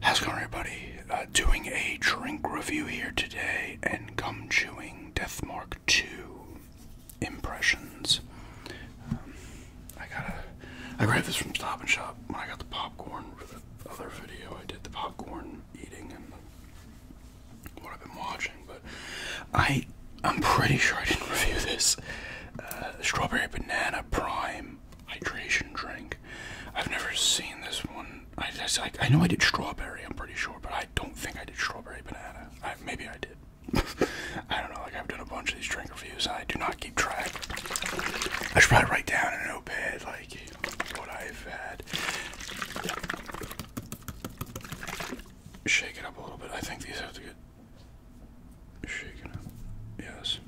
How's it going, everybody? Uh, doing a drink review here today and gum chewing Deathmark 2 impressions. Um, I got I grabbed this from Stop and Shop when I got the popcorn for the other video. I did the popcorn eating and what I've been watching, but I I'm pretty sure I didn't review this. Uh, strawberry banana prime hydration drink. I've never seen this one. I just, I, I know I did strawberry. I'm pretty sure, but I don't think I did strawberry banana. maybe I did. I don't know. Like I've done a bunch of these drink reviews. I do not keep track. I should probably write down in a notepad like what I've had. Shake it up a little bit. I think these have to get Shaking it. Yes.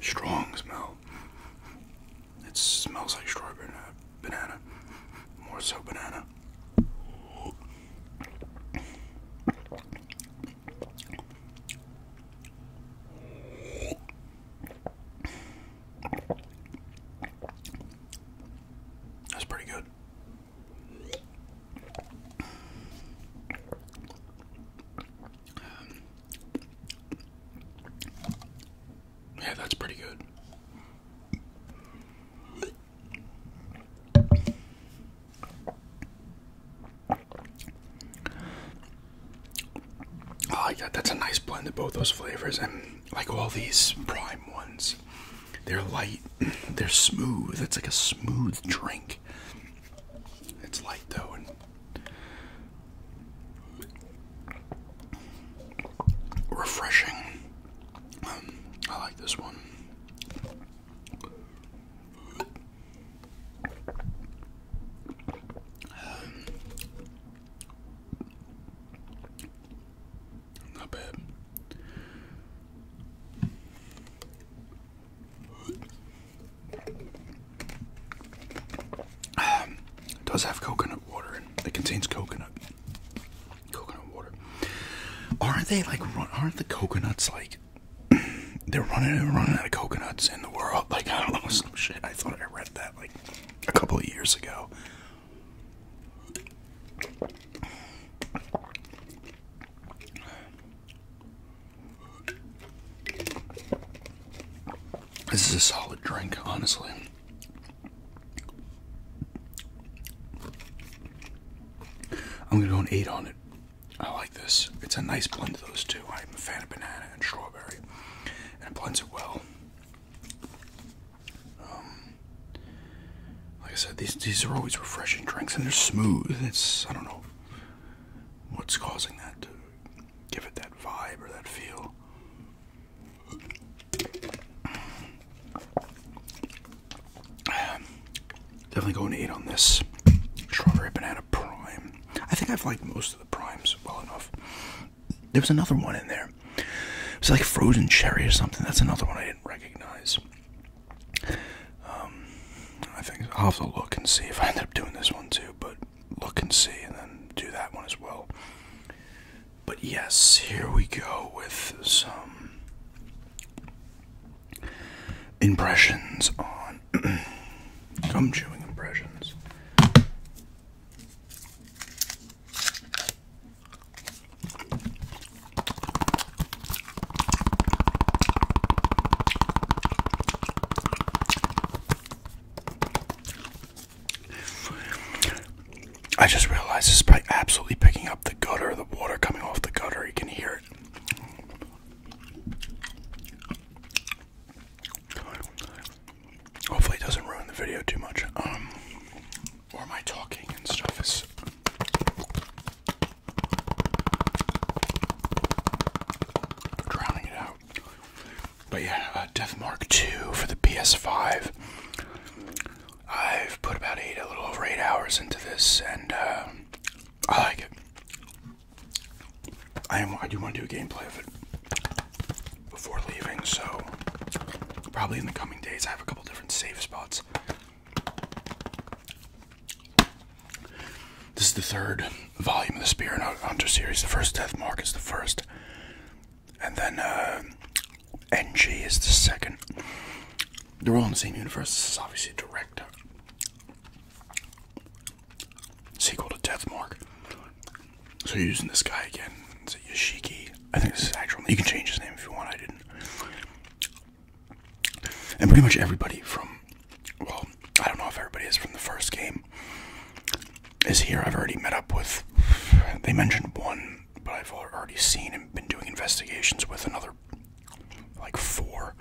Strong smell. It smells like strawberry banana. More so banana. That's pretty good. yeah, that's pretty good. Oh yeah, That's a nice blend of both those flavors, and like all these prime ones, they're light, they're smooth. It's like a smooth drink. It's light though, and refreshing. Um, I like this one. Um, not bad. it does have coconut water and it contains coconut. Coconut water. Aren't they like aren't the coconuts like they're running and running out of coconuts in the world? Like I shit. I thought I read that like a couple of years ago. This is a solid drink, honestly. I'm gonna go an 8 on it. I like this. It's a nice blend of those two. I'm a fan of banana and strawberry and blends it well. Um, like I said, these these are always refreshing drinks, and they're smooth. It's I don't know what's causing that to give it that vibe or that feel. Definitely going to eat on this strawberry banana prime. I think I've liked most of the primes well enough. There was another one in there. It's like frozen cherry or something. That's another one I didn't recognize. Um, I think I'll have to look and see if I end up doing this one too. But look and see, and then do that one as well. But yes, here we go with some impressions on Gum chewing impressions. I just realized this by absolutely picking up the gutter, the water coming off the gutter, you can hear it. Hopefully, it doesn't ruin the video too much. Um, or am talking and stuff is. Drowning it out. But yeah, uh, Death Mark 2 for the PS5. I've put about eight, a little over eight hours into this, and uh, I like it. I am. I do want to do a gameplay of it before leaving, so probably in the coming days I have a couple different save spots. This is the third volume of the Spear and Hunter series. The first Death Mark is the first, and then uh, NG is the second. They're all in the same universe. This is obviously a direct Sequel to Deathmark. So you're using this guy again. Is it Yoshiki? I think this is his actual You can change his name if you want. I didn't. And pretty much everybody from, well, I don't know if everybody is from the first game is here. I've already met up with, they mentioned one, but I've already seen and been doing investigations with another, like four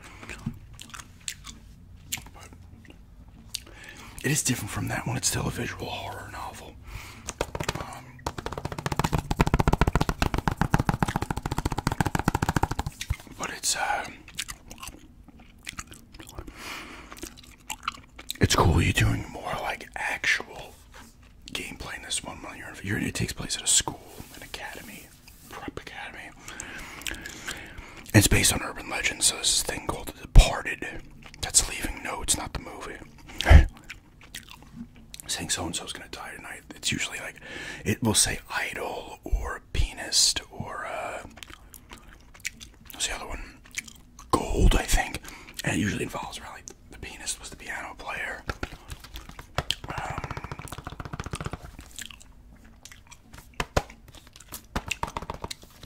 it is different from that one. It's still a visual horror novel. Um, but it's uh, it's cool. You're doing more like actual gameplay in this one. You're, you're it takes place at a school, an academy. Prep Academy. It's based on urban legend. so this thing called The Departed. That's leaving notes, not the movie. Saying so and so's gonna die tonight. It's usually like it will say idol or pianist or uh, what's the other one? Gold, I think. And it usually involves around like the pianist was the piano player. Um,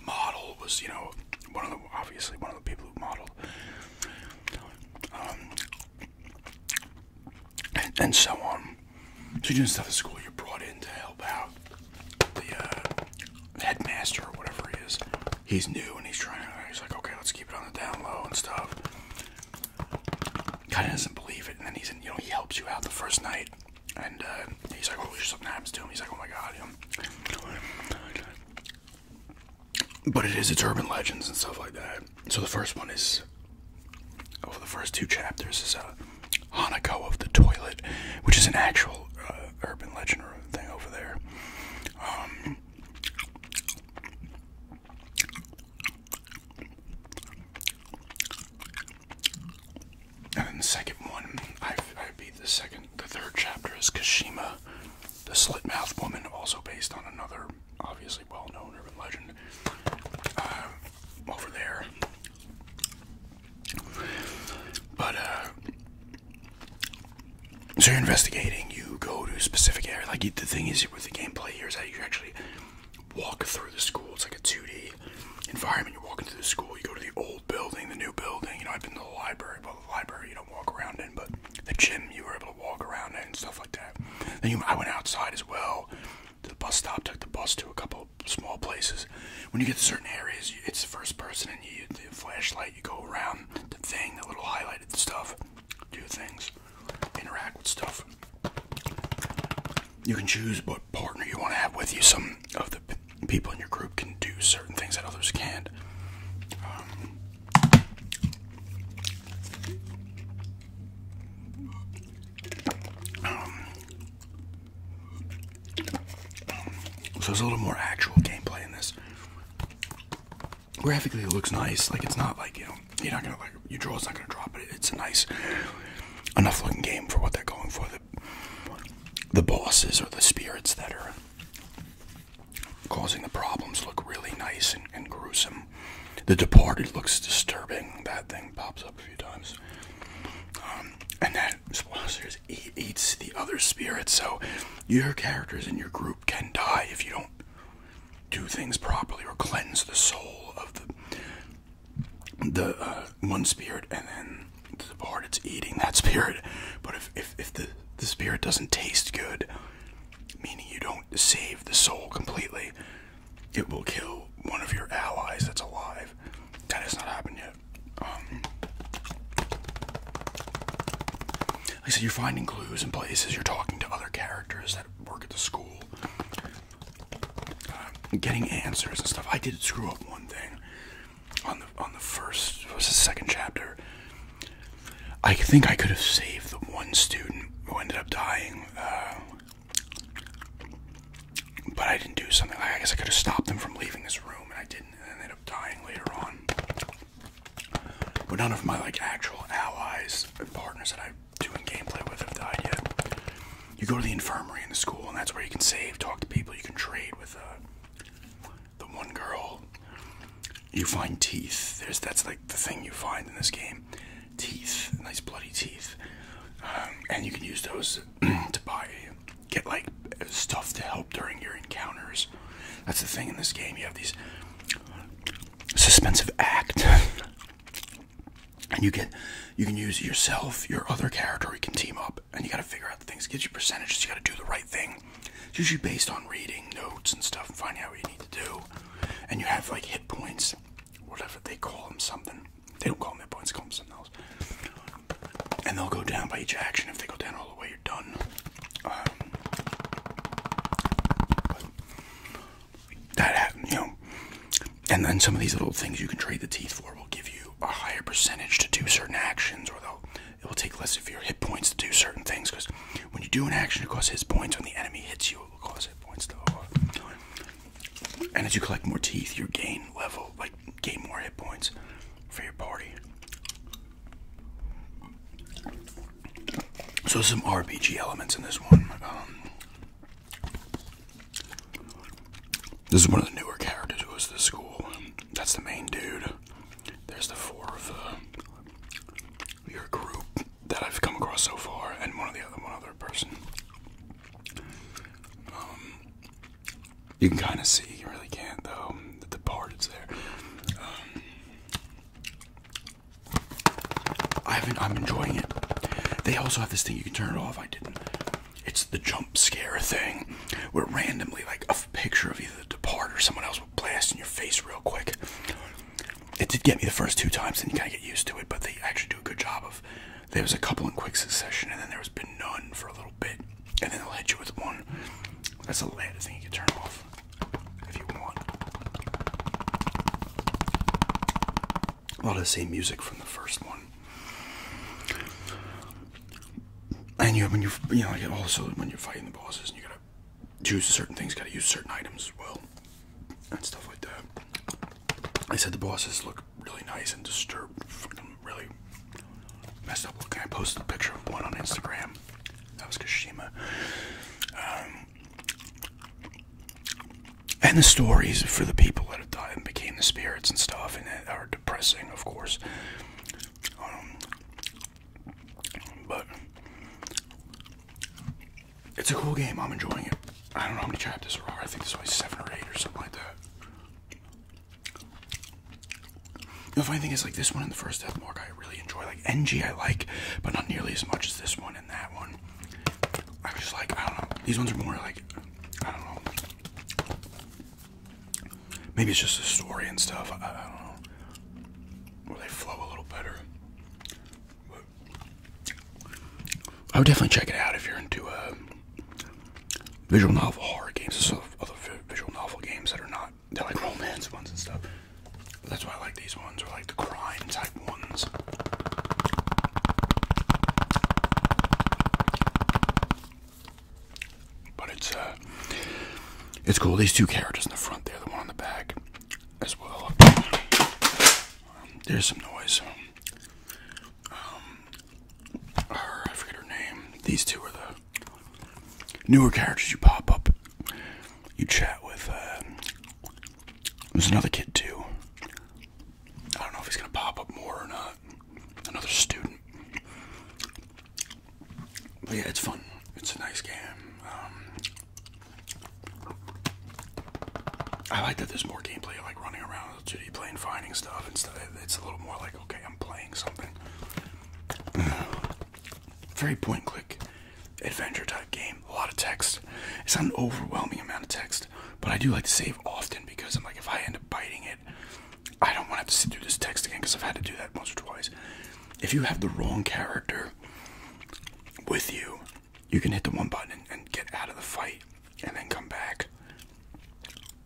model was, you know, one of the obviously one of the people who modeled, um, and, so on. So you didn't stop at school. you brought in to help out uh, the headmaster or whatever he is. He's new and he's trying. to, He's like, okay, let's keep it on the down low and stuff kind of doesn't believe it, and then he's in, you know he helps you out the first night, and uh, he's like, oh, something happens to him. He's like, oh my god, you know. But it is it's urban legends and stuff like that. So the first one is, over oh, the first two chapters is a uh, Hanako of the toilet, which is an actual uh, urban legend or thing over there. Um, and then the second one, i I beat the second, the third chapter is Kashima, the slit mouthed woman, also based on another obviously well known urban legend uh, over there. But, uh, so you're investigating, you go to a specific area. Like, the thing is, it with the gameplay here is that you actually walk through the school. It's like a 2D environment. You're walking through the school. You go to the old building, the new building. You know, I've been to the library, but the library you don't walk around in, but the gym you were able to walk around in and stuff like that. Then you, I went outside as well to the bus stop, took the bus to a couple small places. When you get to certain areas, it's first person and you use the flashlight. You go around the thing, the little highlighted stuff do things, interact with stuff. You can choose what partner you want to have with you. Some of the people in your group can do certain things that others can't. Um, um, so there's a little more actual gameplay in this graphically it looks nice. Like it's not like you know you're not gonna like your is not gonna drop, but it's a nice enough looking game for what they're going for. The the bosses or the spirits that are causing the problems look really nice and, gruesome. The Departed looks disturbing. That thing pops up a few times. Um, and that sponsors eat, eats the other spirits, so your characters in your group can die if you don't do things properly or cleanse the soul of the the uh, one spirit and then the part it's eating that spirit. But if if the the spirit doesn't taste good, meaning you don't save the soul completely, it will kill one of your allies that's alive. That has not happened yet. Um, like I said, you're finding clues in places. You're talking to other characters that work at the school. Um, getting answers and stuff. I did screw up one thing on the on the first was the second chapter. I think I could have saved the one student who ended up dying, uh, but I didn't do something. I guess I could have stopped them from leaving this room, and I didn't, and ended up dying later on. But none of my like actual allies and partners that I do in gameplay with have died yet. You go to the infirmary in the school, and that's where you can save, talk to people, you can trade with uh, the one girl. You find teeth. that's like the thing you find in this game, teeth, nice bloody teeth, um, and you can use those to buy, get like stuff to help during your encounters. That's the thing in this game. You have these suspensive act. and you get you can use yourself, your other character, you can team up, and you gotta figure out things, Gives you percentages, you gotta do the right thing. It's usually based on reading notes and stuff and finding out what you need to do. And you have like hit points, whatever they call them something. They don't call them hit points, they call them something else. And they'll go down by each action. If they go down all the way, done. Um, that happened, you know. And then some of these little things you can trade the teeth for will give you a higher percentage to do certain actions, or it will take less of your hit points to do certain things. Because when you do an action, it costs hit points. When the enemy hits you, it will cause hit points to. And as you collect more teeth, you gain level like gain more hit points for your party. So some RPG elements in this one. Um, this is one of the newer characters who was the school. That's the main dude. There's the four of uh, your group that I've come across so far, and one of the other one other person. Um, you can kind of see, you really can't though, the part is there. Um, I haven't, I'm enjoying it. They also have this thing, you can turn it off, I didn't. It's the jump scare thing, where randomly, like a picture of either the depart or someone else will blast in your face real quick. It did get me the first two times, and you kind of get used to it, but they actually do a good job of, there was a couple in quick succession, and then there's been none for a little bit, and then i will hit you with one. That's the last thing you can turn off if you want. A lot of the same music from the first one. And you, when you, you know, like also when you're fighting the bosses, and you gotta choose certain things, gotta use certain items well, and stuff like that. I said the bosses look really nice and disturbed, really messed up looking. I posted a picture of one on Instagram. That was Kashima. Um, and the stories for the people that have died and became the spirits and stuff, and that are depressing, of course. Um, but it's a cool game. I'm enjoying it. I don't know how many chapters there are. I think there's only seven or eight or something like that. The funny thing is, like this one in the first Death Mark, I really enjoy. Like NG, I like, but not nearly as much as this one and that one. I am just like, I don't know. These ones are more like, I don't know. Maybe it's just the story and stuff. I, don't know. Or they flow a little better. I would definitely check it out if you're into a. Uh, visual novel horror games and other visual novel games that are not, they're like romance ones and stuff. That's why I like these ones, or like the crime type ones. But it's uh, it's cool. These two characters in the front there, the one in the back, as well. Um, there's some noise. Um, I forget her name. These two are the newer characters you pop up. You chat with. Uh, there's another kid too. I don't know if he's gonna pop up more or not. Another student. But yeah, it's fun. It's a nice game. Um, I like that there's more gameplay, like running around know, Judy playing finding stuff instead. It's a little more like, okay, I'm playing something. Very point point click adventure type game. A lot of text. It's not an overwhelming amount of text, but I do like to save often because I'm like, if I end up biting it, I don't want to have to sit through this text again because I've had to do that once or twice. If you have the wrong character with you, you can hit the one button and get out of the fight and then come back.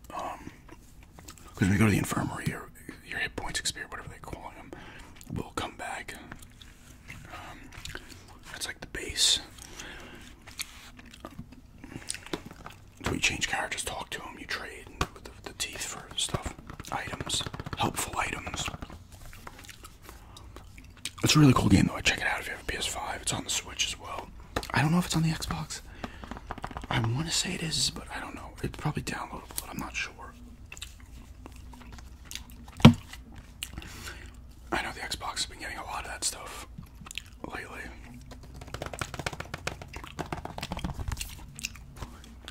because um, when you go to the infirmary, your hit points expire, whatever they call them, we will come back. Um, that's like the base. We change characters, talk to them, you trade the, teeth for stuff, items, helpful items. It's a really cool game though. I check it out if you have a PS5. It's on the Switch as well. I don't know if it's on the Xbox. I want to say it is, but I don't know. It's probably downloadable, but I'm not sure. I know the Xbox has been getting a lot of that stuff lately.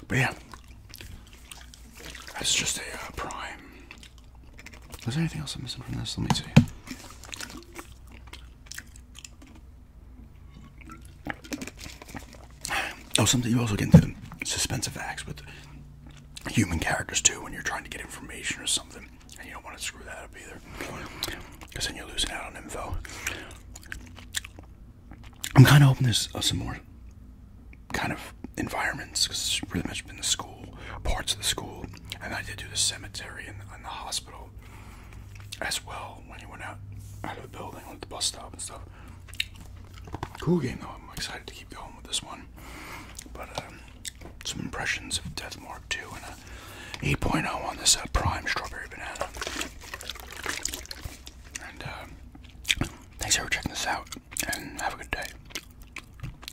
But yeah, that's just a uh, prime is there anything else I'm missing from this? Let me see. Oh, something you also get into suspensive acts with human characters too when you're trying to get information or something, and you don't want to screw that up either, because then you're losing out on info. I'm kind of hoping there's uh, some more kind of environments, because it's pretty much been the school, parts of the school, and I did do the cemetery and, the hospital as well when he went out out of the building with the bus stop and stuff. Cool game though. I'm excited to keep going with this one. But um, some impressions of Death Mark 2 and a 8.0 on this uh, prime strawberry banana. And uh, thanks for checking this out and have a good day.